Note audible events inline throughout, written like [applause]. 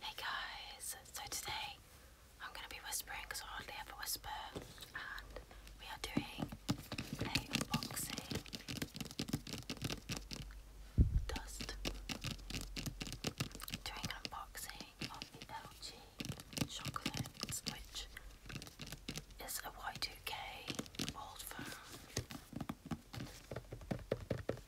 Hey guys, so today I'm going to be whispering because I hardly ever whisper and we are doing a boxing dust doing an unboxing of the LG chocolates which is a Y2K old phone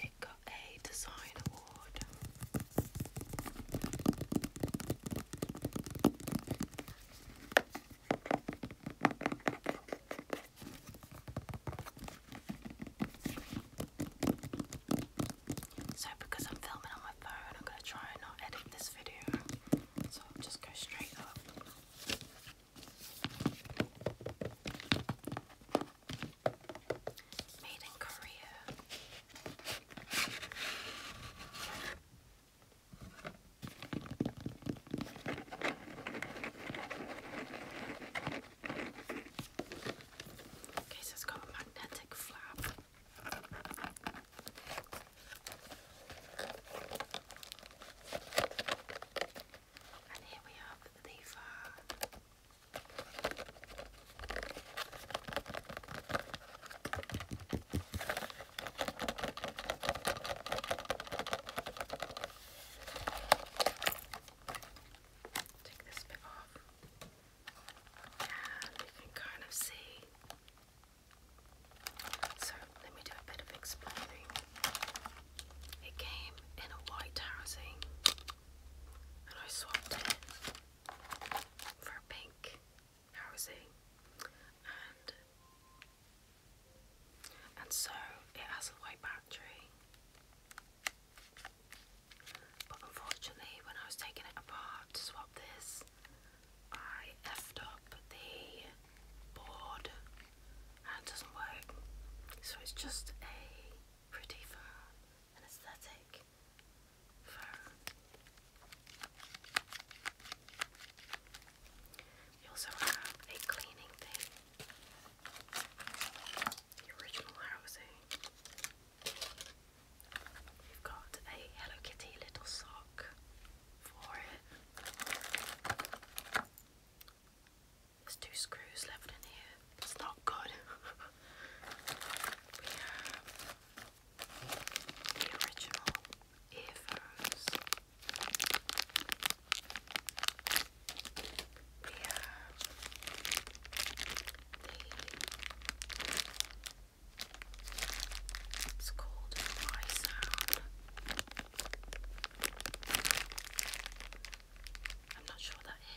It a design award. So, because I'm filming on my phone, I'm going to try and not edit this video. So, just go straight up. Okay, so it's got magnetic flap. And here we have the uh, Take this bit off, and you can kind of see. So let me do a bit of explaining. It came in a white housing, and I swapped it for pink housing and so it has a white battery but unfortunately when I was taking it apart to swap this I effed up the board and doesn't work so it's just a pretty fan and aesthetic You also have a cleaning thing. The original housing. You've got a Hello Kitty little sock for it. There's two screws left in here. It's not good. [laughs] we have the original earphones. We have the it's called My Sound. I'm not sure that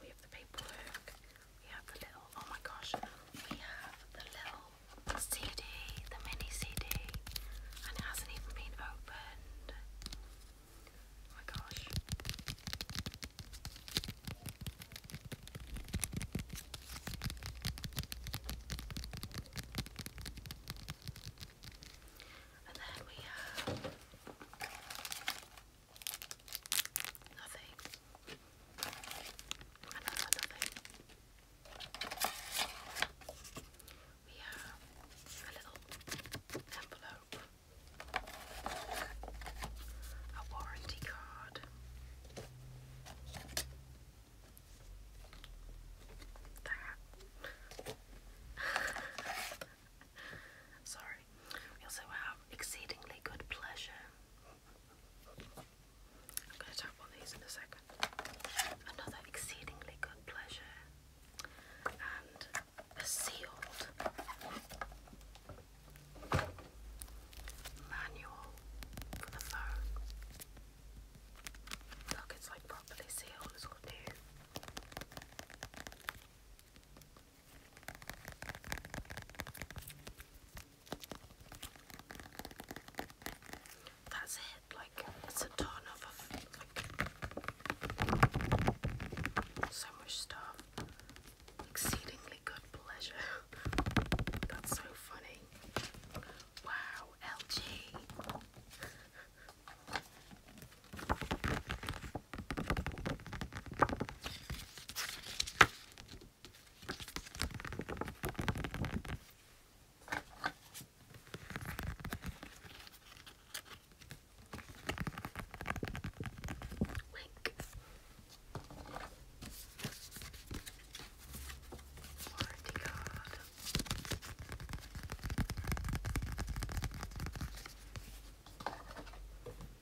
we have the paperwork. We have the little, oh my gosh, we have the little CD, the mini CD, and it hasn't even been opened. Oh my gosh. And then we have Nothing. Another nothing. We have a little envelope, a warranty card, that. [laughs] Sorry. We also have exceedingly good pleasure. I'm going to tap on these in a second. Another exceedingly good pleasure and a sealed manual for the phone. Look, it's like properly sealed, it's all new. That's it, like it's a ton of like so much stuff. Exceedingly good pleasure. [laughs] That's so funny. Wow, LG. Wink. Warranty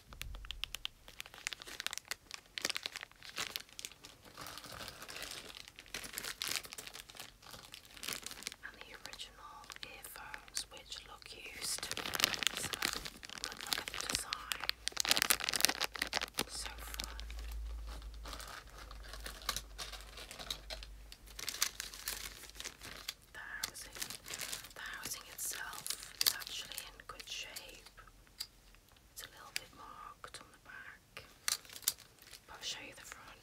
And the original earphones which look used. So good look at the design. So fun. The housing, the housing itself is actually in good shape. It's a little bit marked on the back. But I'll show you the front.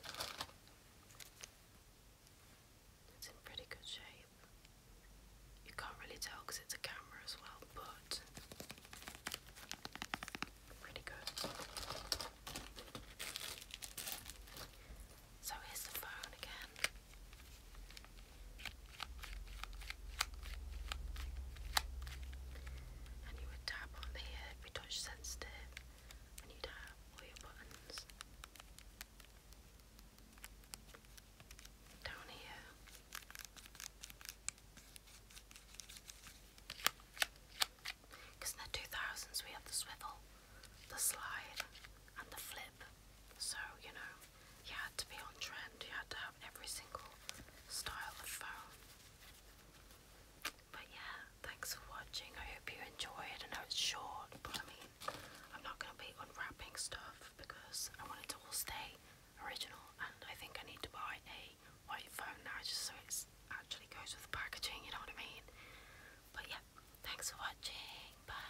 It's in pretty good shape. You can't really tell because it's a camera as well, but pretty good. So here's the phone again. And you would tap on here if you're touch and you'd have all your buttons. Down here. Because in the 2000s we had the swivel, the slide, and the flip. So, you know, you had to be on trend, you had to have every single style of phone. But yeah, thanks for watching. I hope you enjoyed. I know it's short, but I mean, I'm not going to be unwrapping stuff because I want it to all stay original. And I think I need to buy a white phone now just so it actually goes with the packaging, you know what I mean? But yeah, thanks for watching. Bye.